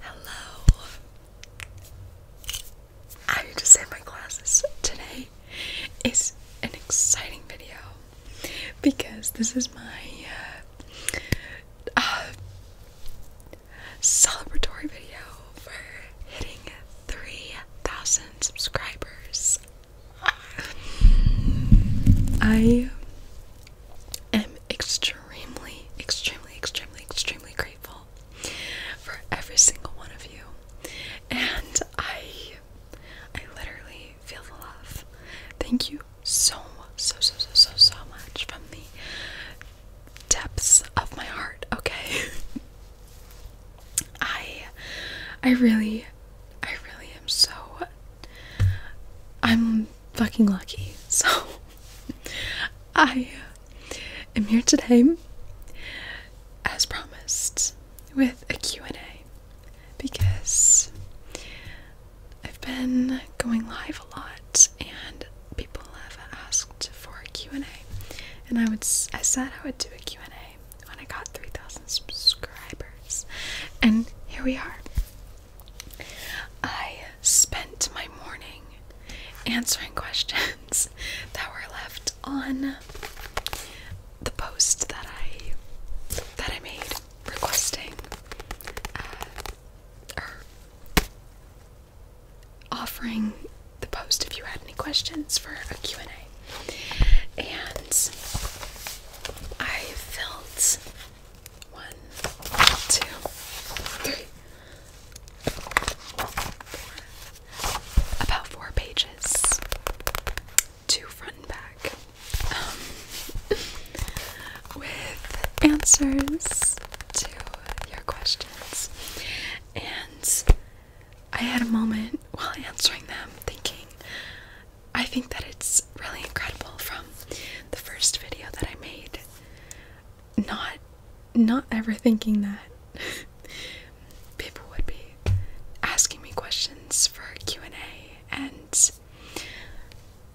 Hello. I need to say my glasses. Today is an exciting video because this is my uh, uh, celebratory video for hitting 3,000 subscribers. I i am extremely, extremely, extremely, extremely grateful for every single one of you. And I I literally feel the love. Thank you so so so so so so much from the depths of my heart, okay? I I really I really am so I'm fucking lucky. So I am here today as promised with a Q&A because I've been going live a lot and people have asked for a Q&A and I would I said I would do a Q&A when I got 3000 subscribers and here we are I spent my morning answering questions that were left on the post that I that I made requesting uh, or offering the post if you had any questions for a Q&A and I felt one, two, three, four. About four pages. Two front and back. Um, with answers to your questions. And I had a moment while answering them thinking, I think that it's really incredible from the first video that I made. Not not ever thinking that people would be asking me questions for Q&A and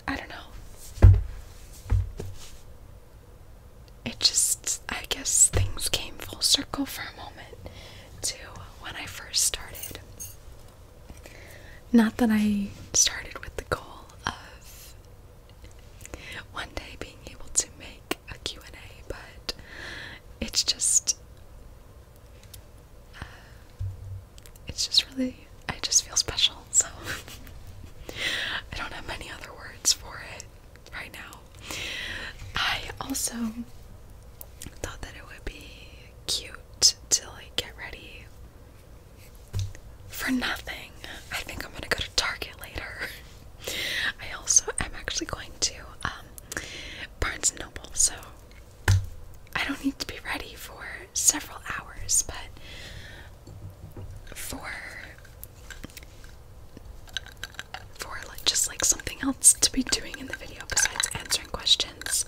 I don't know. It just I guess things came full circle for a moment to when I first started not that I started with the goal of one day being able to make a Q&A, but it's just uh, it's just really I just feel special, so I don't have many other words for it right now. I also thought that it would be cute to like get ready for nothing. I think I'm gonna go to Target later. I also am actually going to um, Barnes & Noble, so I don't need to be ready for several hours, but for for just like something else to be doing in the video besides answering questions,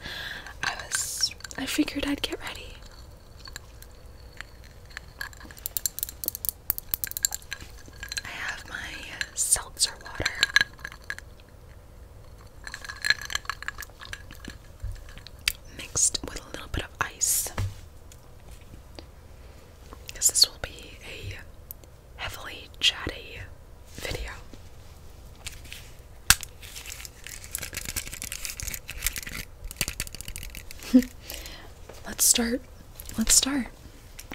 I was I figured I'd get ready. I have my seltzer water. Mixed with a little bit of ice. Because this will be a heavily chatty video. Let's start. Let's start.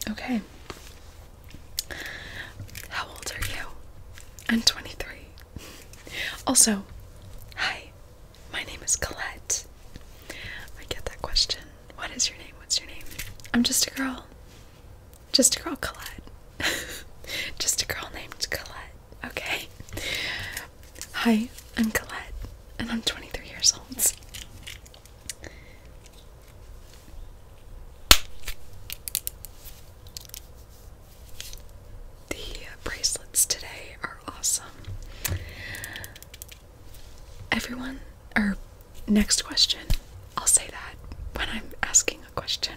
Okay. How old are you? I'm 23. Also, hi, my name is Colette. I get that question. What is your name? What's your name? I'm just a girl. Just a girl, Colette. just a girl named Colette okay? Hi, I'm Colette, and I'm 23 years old. The bracelets today are awesome. Everyone, or next question, I'll say that when I'm asking a question.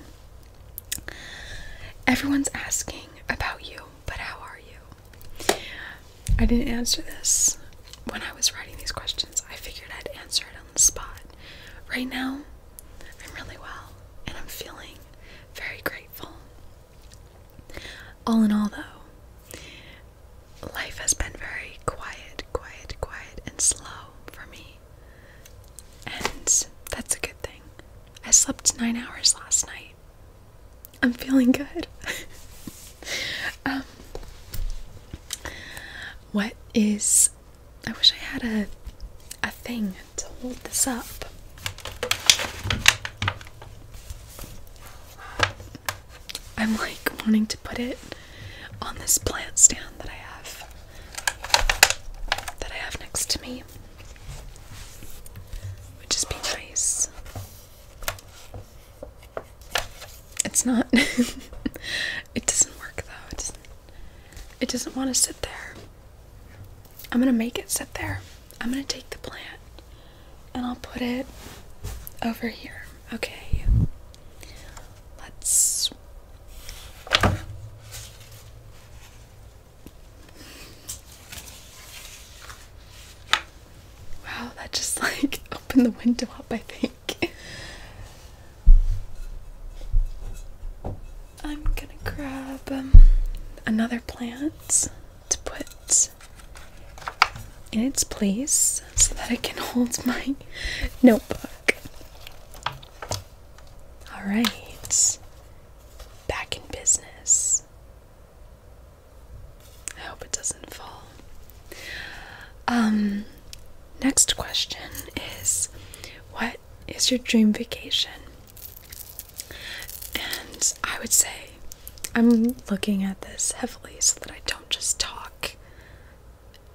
Everyone's asking about you but how are you? I didn't answer this when I was writing these questions. I figured I'd answer it on the spot. Right now, I'm really well and I'm feeling very grateful. All in all, though, life has been very quiet, quiet, quiet, and slow for me. And that's a good thing. I slept nine hours last night. I'm feeling good. um, what is. I wish I had a, a thing to hold this up. I'm like wanting to put it on this plant stand that I have that I have next to me. Would just be nice. It's not. it doesn't work though. It doesn't, it doesn't want to sit there. I'm gonna make it sit there. I'm gonna take the plant and I'll put it over here. Okay. Let's Wow, that just like opened the window up, I think. I'm gonna grab um, another plant to put in its place so that I can hold my notebook. Alright back in business. I hope it doesn't fall. Um, next question is What is your dream vacation? And I would say, I'm looking at this heavily so that I don't just talk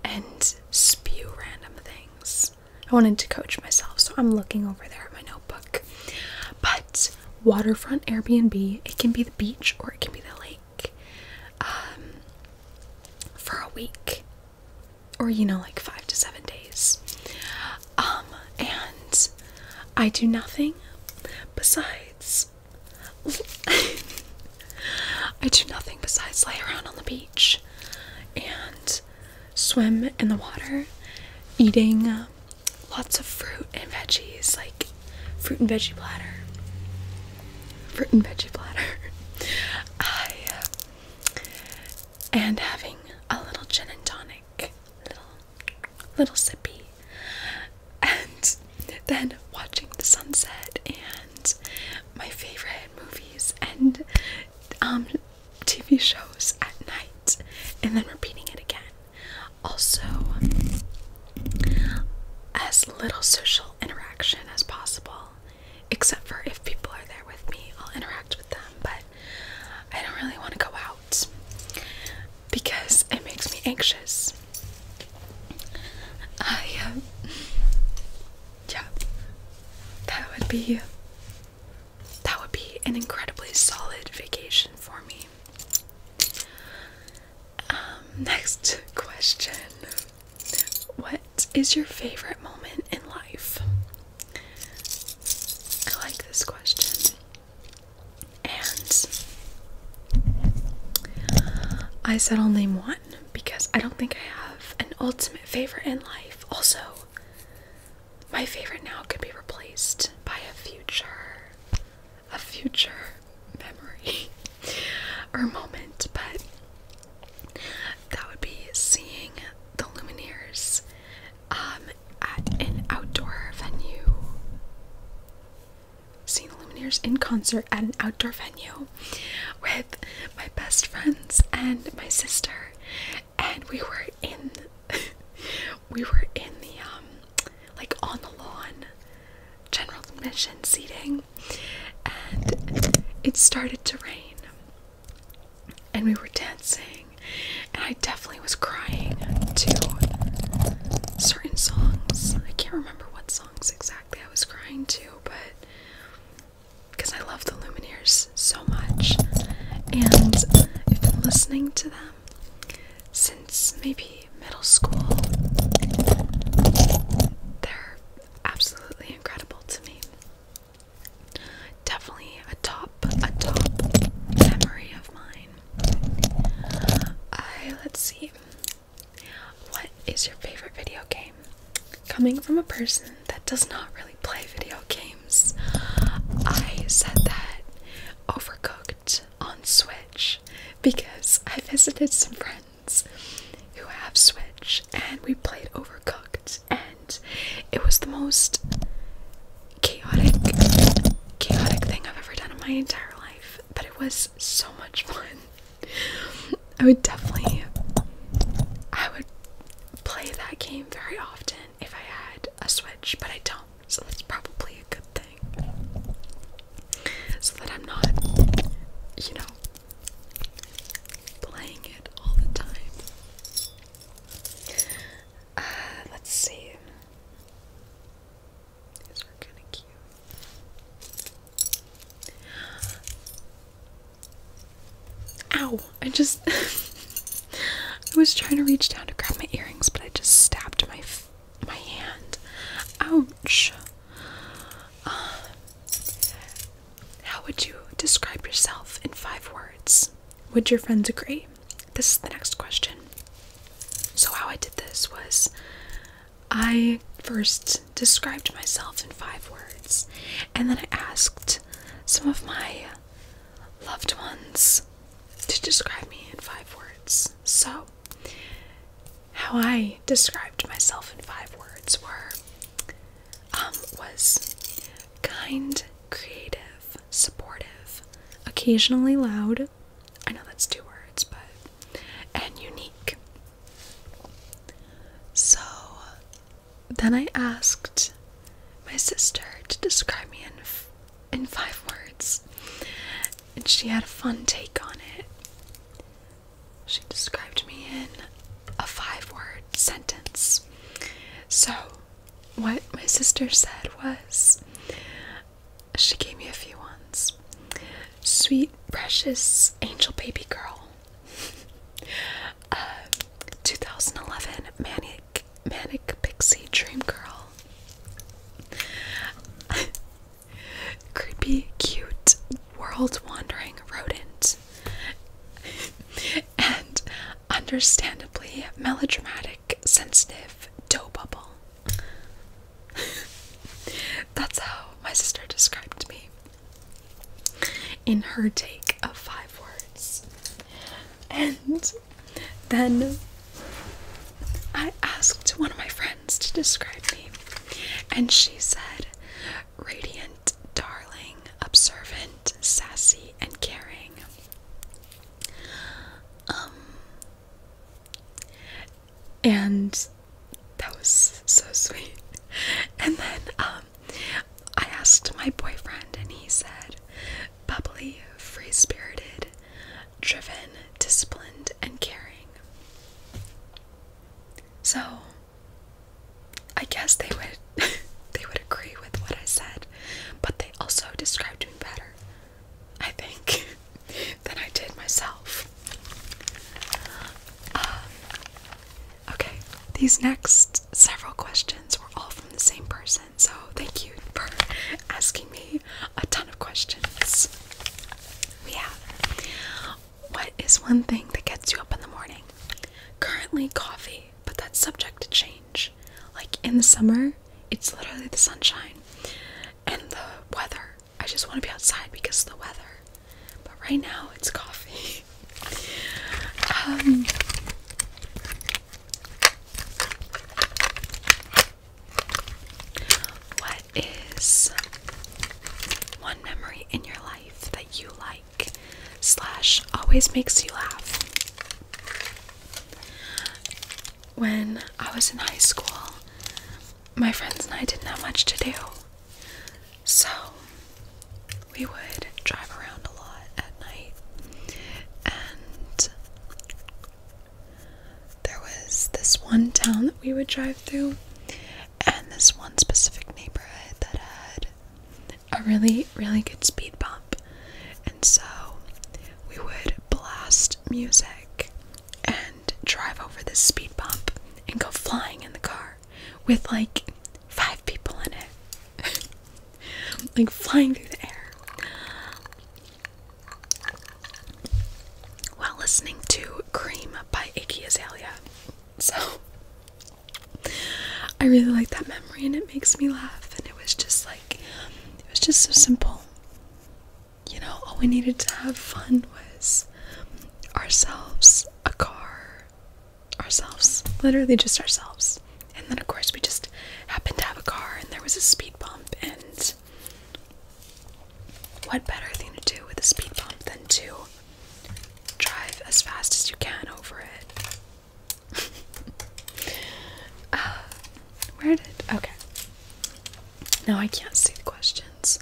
and spew random things. I wanted to coach myself. So I'm looking over there at my notebook. But waterfront Airbnb, it can be the beach or it can be the lake um, for a week or, you know, like five to seven days. Um, and I do nothing besides. I do nothing besides lay around on the beach and swim in the water, eating uh, lots of fruit and veggies, like fruit and veggie platter. Fruit and veggie platter. and having a little gin and tonic, little, little sippy, and then watching the sunset and my favorite movies and um, TV shows at night and then repeating it again. Also, as little social interaction as possible, except for if people are there with me, I'll interact with them, but I don't really want to go out because it makes me anxious. I, uh, yeah, that would be you. That would be an incredibly solid vacation for me. Um, next question What is your favorite moment in life? I like this question. And I said I'll name one because I don't think I have an ultimate favorite in life. Also, my favorite now could be replaced by a future a future memory or moment, but that would be seeing the Lumineers um, at an outdoor venue. Seeing the Lumineers in concert at an outdoor venue with my best friends and my sister, and we were in we were in the um like on the lawn general admission seating and it started to rain and we were dancing and I definitely was crying to certain songs. I can't remember what songs exactly I was crying to, but because I loved the Lumineers so much, and I've been listening to them since maybe middle school. They're absolutely incredible to me. Definitely a top, a top memory of mine. I let's see. What is your favorite video game? Coming from a person that does not really play video games. I said that Overcooked on Switch because I visited some friends who have Switch and we played Overcooked, and it was the most chaotic, chaotic thing I've ever done in my entire life, but it was so much fun. I would definitely, I would play that game very often if I had a Switch, but I don't, so that's probably a good thing. So that I'm not, you know, playing it all the time. Uh, let's see. These are kind of cute. Ow! I just. I was trying to reach down to grab my earrings, but I just stabbed my my hand. Ouch! Uh, how would you describe yourself in five words? Would your friends agree? This is the next question. So, how I did this was I first described myself in five words, and then I asked some of my loved ones to describe me in five words. So, how I described myself in five words were um, was kind, creative, supportive, occasionally loud. I know that's two words, but and unique. So then I asked my sister to describe me in in five words, and she had a fun take on it. She described me in a five-word sentence. So, what my sister said was, she gave me a few ones. Sweet, precious, angel baby girl. Uh, 2011 Manny manic, pixie dream girl. Creepy, cute, world wandering rodent. and understandably melodramatic, sensitive dough bubble. That's how my sister described me in her take of five words. And then I asked one of my friends to describe me, and she said radiant, darling, observant, sassy, and caring. Um, and that was so sweet. And then, um, I asked my boyfriend, and he said, bubbly, free spirited, driven, disciplined, and caring. So, I guess they would they would agree with what I said, but they also described me better, I think, than I did myself. Um, okay, these next several questions were all from the same person so thank you for asking me a ton of questions. We What is one thing that gets you up in the morning? Currently, coffee, but that's subject to change. Like in the summer, it's literally the sunshine and the weather. I just want to be outside because of the weather, but right now it's coffee. Um, what is one memory in your life that you like slash always makes you laugh? When I was in high school, my friends and I didn't have much to do. So we would drive around a lot at night, and there was this one town that we would drive through, and this one specific neighborhood that had a really, really good speed bump. And so we would blast music and drive over this speed bump and go flying in the car with like five people in it. like flying through the air. While listening to Cream by Iggy Azalea. So, I really like that memory and it makes me laugh. And it was just like, it was just so simple. You know, all we needed to have fun was ourselves, a car, ourselves, literally just ourselves. And then, of course, we just happened to have a car and there was a speed bump. And what better thing to do with a speed bump than to drive as fast as you can over it? uh, where did. Okay. Now I can't see the questions.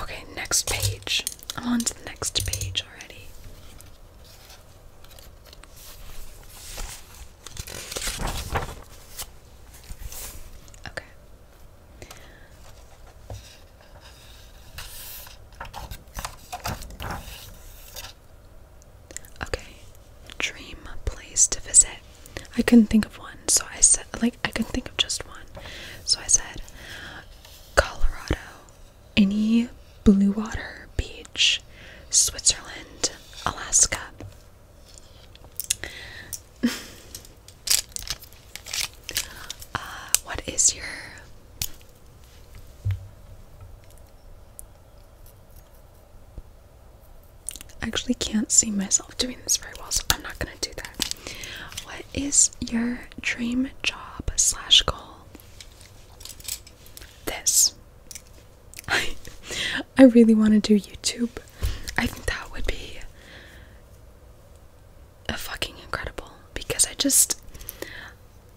Okay, next page. I'm on to the next page already. Okay. Okay. Dream place to visit. I couldn't think of one, so I said like I couldn't think of just one. So I said Colorado, any blue water beach, Switzerland, Alaska. Uh, what is your actually can't see myself doing this very well, so I'm not gonna do that. What is your dream job slash goal? this. I I really want to do YouTube. I think that would be a fucking incredible because I just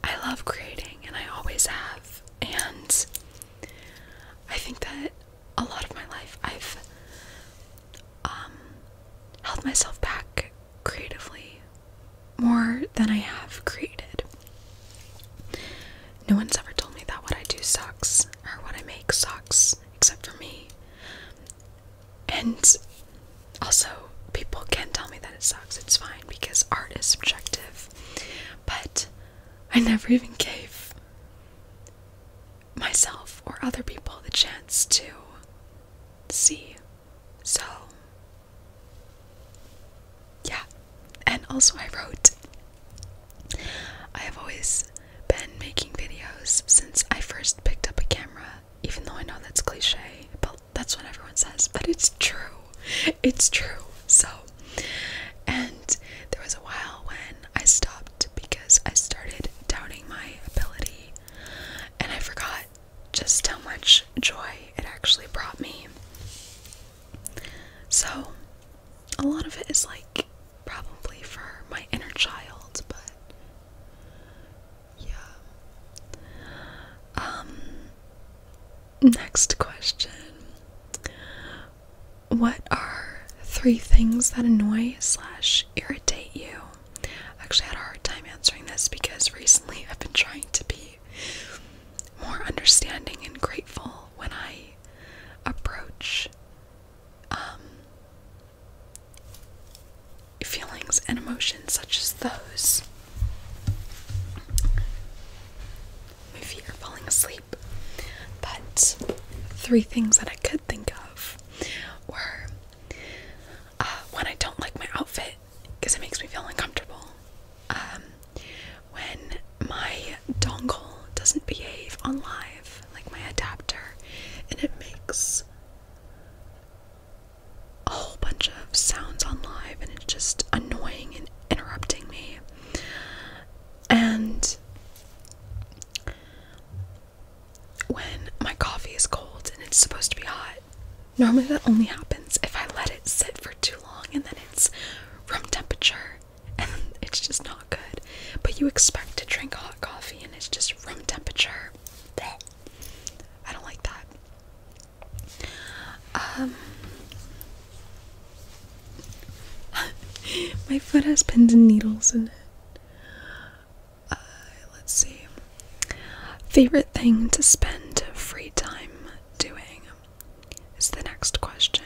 I love creating and I always have and I think that a lot of my life I've um held myself back creatively more than I have created. No one's ever told me that what I do sucks or what I make sucks except for me. And also, people can tell me that it sucks. It's fine because art is subjective. But I never even gave myself or other people the chance to see. So yeah, and also I wrote. I have always been making videos since I first picked up a camera, even though I know that's cliche, but that's what everyone says, but it's true. It's true. So, and there was a while when I stopped because I started doubting my ability and I forgot just how much joy it actually brought me. So, a lot of it is like probably for my inner child, but yeah. Um, next question What are three things that annoy slash irritate you? I Actually, had a hard time answering this because recently I've been trying to be more understanding and grateful when I approach um, feelings and emotions such as those. My feet are falling asleep. But three things that I could think of were when uh, I don't like my outfit because it makes me feel uncomfortable. Um, when my dongle doesn't behave on live, like my adapter, and it makes a whole bunch of sounds on live, and it's just annoying and interrupting me. And when my coffee is cold and it's supposed to be hot, Normally, that only happens if I let it sit for too long and then it's room temperature and it's just not good. But you expect to drink hot coffee and it's just room temperature. I don't like that. Um, my foot has pins and needles in it. Uh, let's see. Favorite thing to spend free time doing is the next question.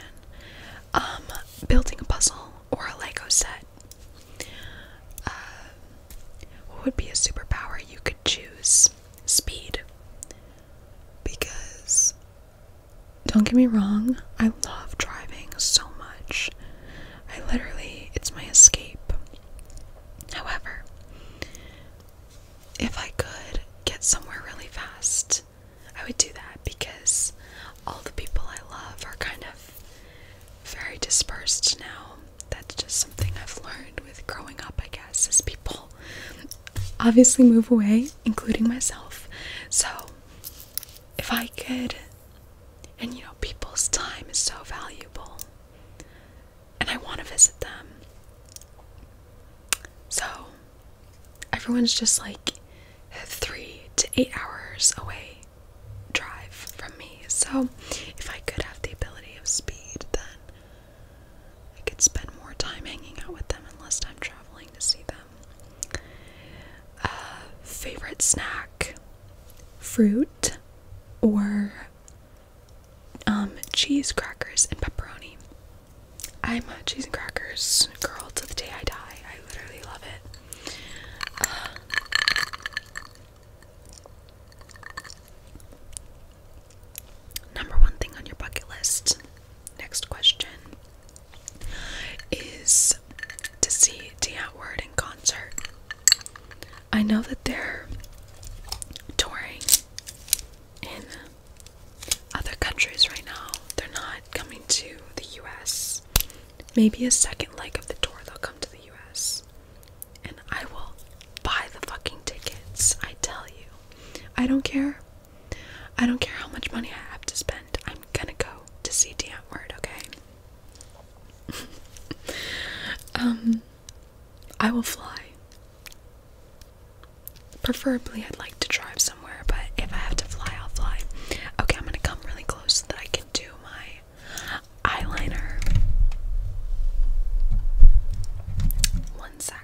Um, building a puzzle or a Lego set. Uh, what would be a superpower you could choose? Speed. Because, don't get me wrong, I love driving so much. I literally, it's my escape. However, if I could get somewhere really fast, I would do that because all the people I love are kind of very dispersed now. That's just something I've learned with growing up, I guess, As people obviously move away, including myself. So if I could, and you know, people's time is so valuable and I want to visit them. So everyone's just like three to eight hours away drive from me. So if I could have the ability of speed, then I could spend more time hanging out with them and less time traveling to see them. Uh, favorite snack fruit or um, cheese crackers and pepperoni. I'm a cheese and crackers girl to the day I die. I literally love it. Uh, number one thing on your bucket list. Next question is to see D Word in concert. I know that they're touring in other countries right now. They're not coming to the US. Maybe a second leg of the tour they'll come to the US. And I will buy the fucking tickets, I tell you. I don't care. I don't care how much money I have to spend. I'm gonna go to see Damn Word, okay? um I will fly. Preferably, I'd like to drive somewhere, but if I have to fly, I'll fly. Okay, I'm gonna come really close so that I can do my eyeliner. One sec.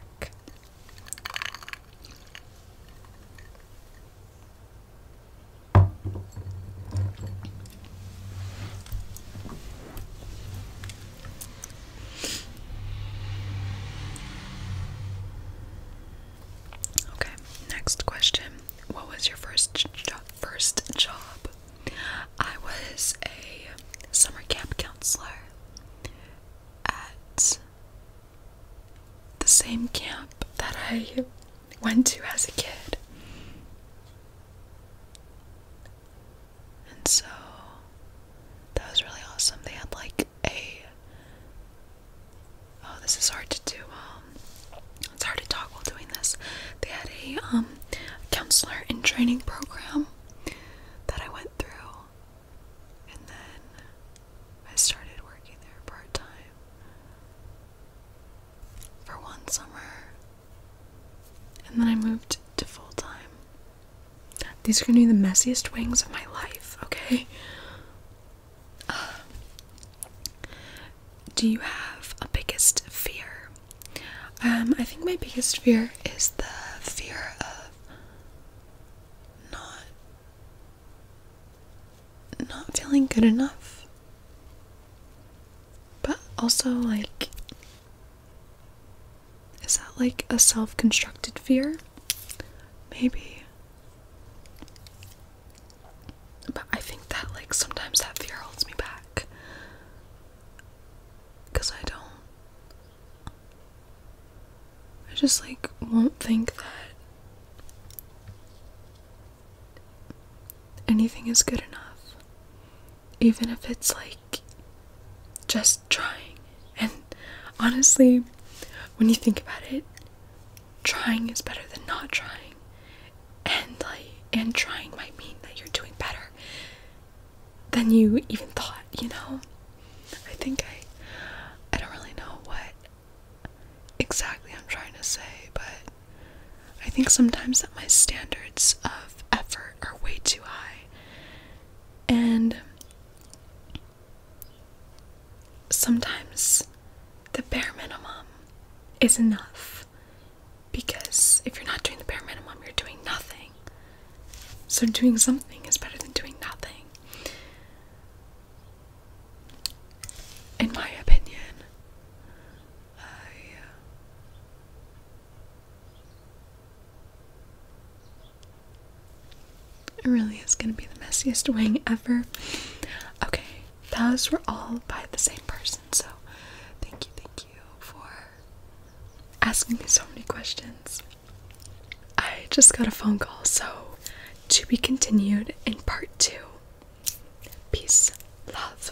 Okay, next question. What was your first jo first job? I was a summer camp counselor at the same camp that I went to as a kid. And so that was really awesome. They had like a oh this is hard to do um it's hard to talk while doing this. They had a um counselor in training program that I went through and then I started working there part time for one summer and then I moved to full time. These are gonna be the messiest wings of my life, okay? do you have a biggest fear? Um, I think my biggest fear is the fear of not not feeling good enough. But also like is that like a self constructed fear? Maybe. But I think that, like, sometimes that fear holds me back. Because I don't. I just, like, won't think that anything is good enough even if it's like just trying. And honestly, when you think about it, trying is better than not trying. And like and trying might mean that you're doing better than you even thought, you know? I think I I don't really know what exactly I'm trying to say, but I think sometimes that my standards of effort are way too high and sometimes the bare minimum is enough because if you're not doing the bare minimum, you're doing nothing. So, doing something is better than doing nothing. In my opinion, uh, it really is gonna be the messiest wing ever. Okay, those were all by the same person, so thank you, thank you for asking me so many questions. I just got a phone call, so to be continued in part two. Peace, love.